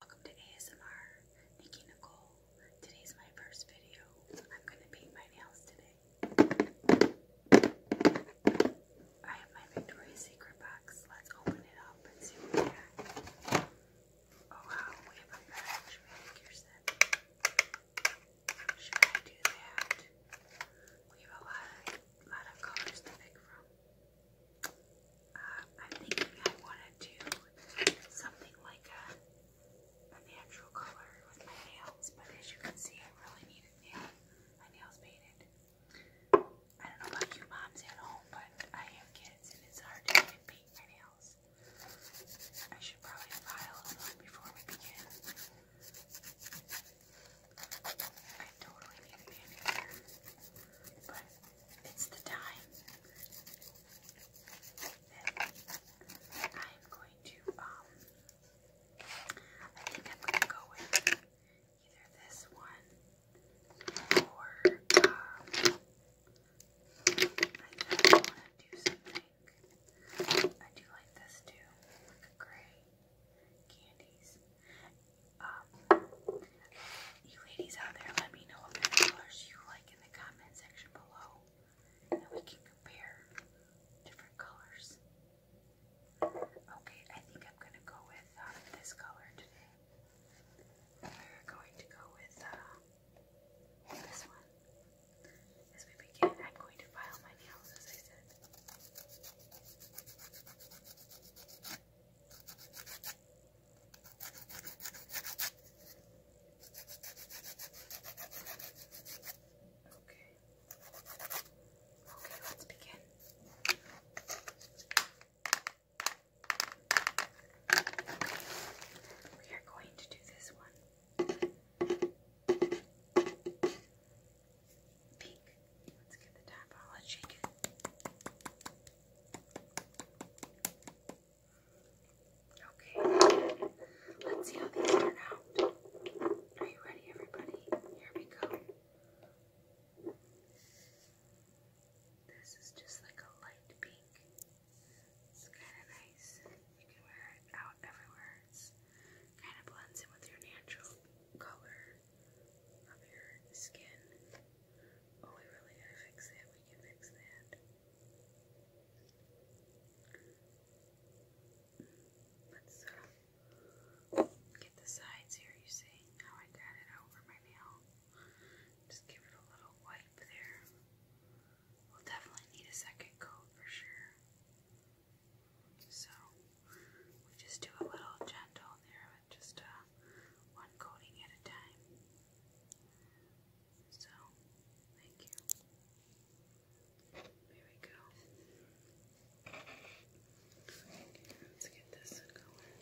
Welcome to ASMR, Nikki Nicole. Today's my first video. I'm gonna paint my nails today. I have my Victoria's Secret box. Let's open it up and see what we got. Oh wow, we have a match. Manicurson. Should I do that? We have a lot of colors to pick from. I'm thinking I want to do something like a, natural color with my nails, but as you can see, I really need a nail. My nails painted. I don't know about you moms at home, but I have kids and it's hard to even paint my nails. I should probably file them before we begin. I totally need a but it's the time that I'm going to, um, I think I'm going to go with either this one or, um, I think I want to do something. I do like this too, like a gray candies. Um, you ladies out there, let me know what colors you like in the comment section below, and we can compare different colors. Okay, I think I'm gonna go with uh, this color today. We're going to go with uh, this one. As we begin, I'm going to file my nails, as I said. Okay. Okay, let's begin. We are going to do this one. Pink. Let's get the tap Okay, let's see how these turn out. Are you ready, everybody? Here we go. This is just like a light pink. It's kind of nice. You can wear it out everywhere. It's kind of blends in with your natural color of your skin. Oh, we really gotta fix that. We can fix that. Let's uh, get the sides here. You see how oh, I got it over my nail? Just give it a little wipe there. We'll definitely need a second coat for sure. So we just do a little gentle there with just a uh, one coating at a time. So, thank you. There we go. Let's get this going.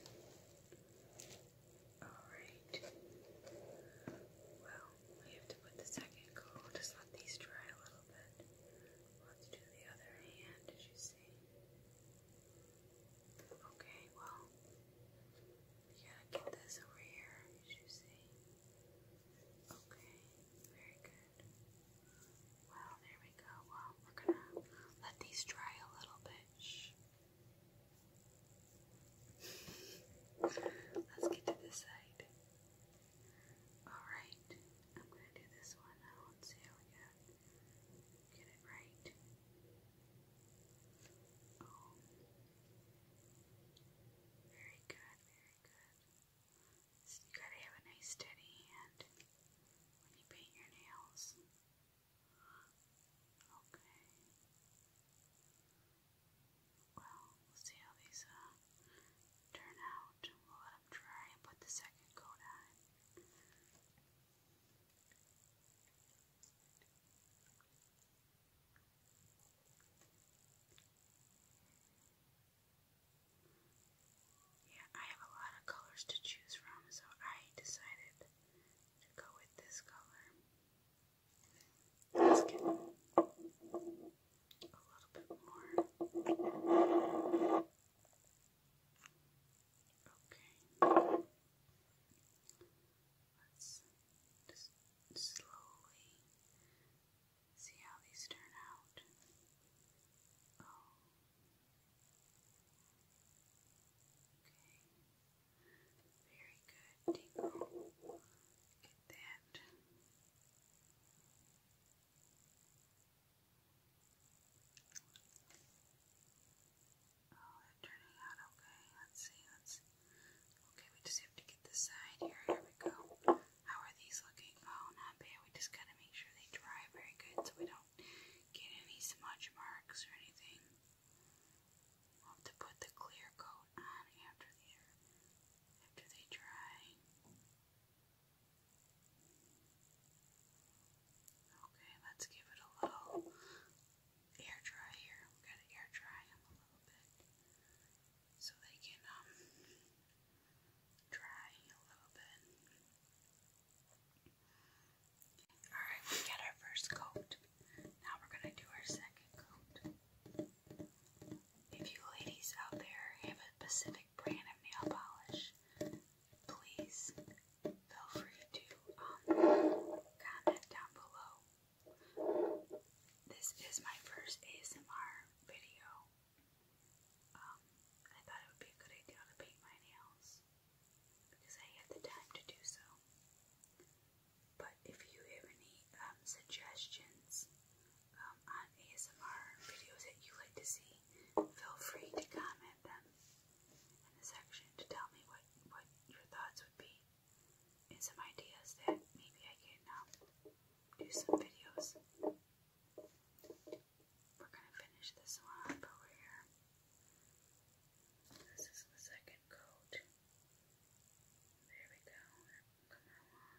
Alright. Well, we have to put the second coat. just let these dry a little bit. Let's do the other hand, as you see. Okay, well, you gotta get this over here, you see. Okay, very good. Well, there we go. Well, we're gonna let these dry a little bit. Let's get to this side. Alright, I'm gonna do this one now and see how we get it right. Oh. Very good, very good. you gotta have a nice steady hand when you paint your nails. Okay. Well, we'll see how these turn out. We'll let them dry and put the second coat on. Yeah, I have a lot of colors to choose from, so I decided to go with this color. let get a little bit more. Okay. Let's just slowly see how these turn out. Oh. Okay. Very good, Tingle. Get that. Oh, they turning out okay. Let's see, let's Okay, we just have to get this side here. Here we go. How are these looking? Oh, not bad. We just gotta make sure they dry very good so we don't get any smudge marks or anything. have to put the clear coat on after they dry. Okay, let's give it a little air dry here. I'm gonna air dry them a little bit so they can um, dry a little bit. Alright, we got our first coat. Now we're gonna do our second coat. If you ladies out there have a specific brand of nail polish, please feel free to um, comment down below. This is my first ASMR video. Um, I thought it would be a good idea to paint my nails because I had the time to do so. But if you have any um, suggestions on ASMR videos that you like to see, feel free to comment them in the section to tell me what, what your thoughts would be and some ideas that maybe I can um, do some videos. We're going to finish this one up over here. This is the second coat. There we go. Coming along.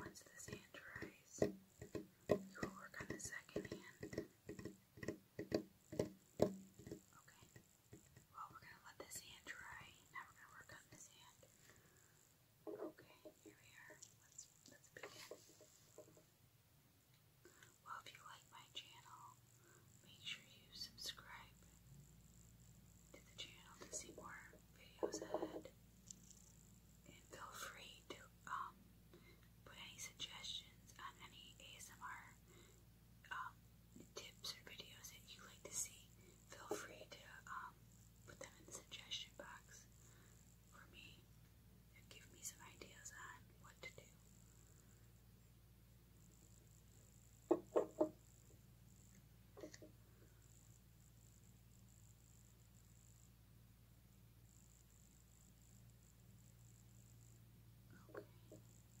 Once the hand dries, you will work on the second hand. Okay. Well, we're going to let this hand dry. Now we're going to work on this hand. Okay, here we are. Let's, let's begin. Well, if you like my channel, make sure you subscribe to the channel to see more videos ahead. feel free to um, put any suggestions on any ASMR um, tips or videos that you like to see. Feel free to um, put them in the suggestion box for me and give me some ideas on what to do.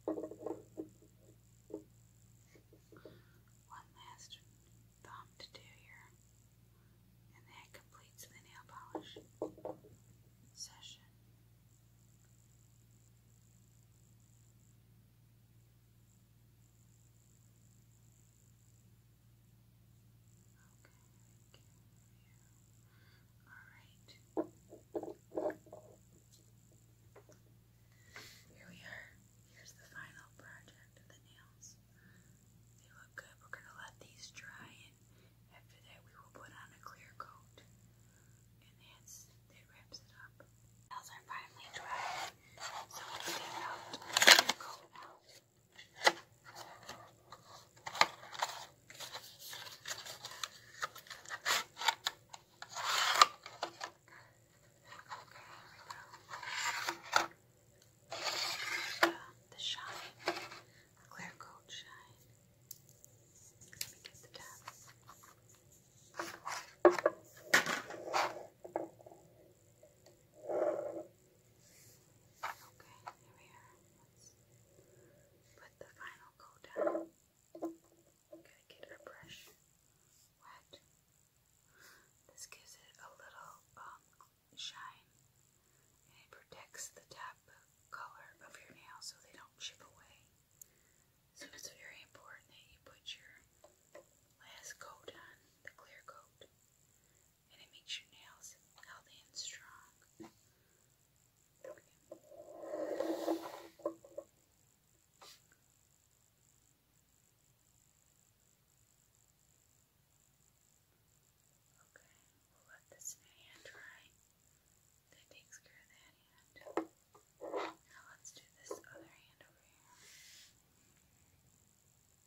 One last thumb to do here, and that completes the nail polish session. All right. Here we are. Here's the final project the nails. They look good. We're going to let these dry, and after that, we will put on a clear coat. And that's that wraps it up. Nails are finally dry, so let's take out clear coat now we go. The shine, clear coat shine. Let me get the tab. Okay, here put the final coat down. Gotta get our brush wet. This gives it a little um, shine and it protects the top color of your nails so they don't chip away. So it's very important that you put your last coat on, the clear coat and it makes your nails healthy and strong. Okay. we'll let this hand dry. That takes care of that hand. Now let's do this other hand over here.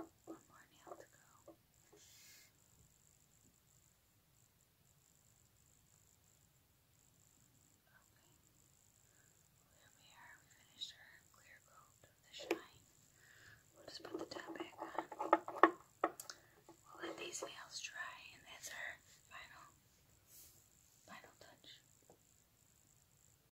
One more nail to go. Okay. There we are. We finished our clear coat the shine. We'll just put the top back on. We'll let these nails dry, and that's our final, final touch.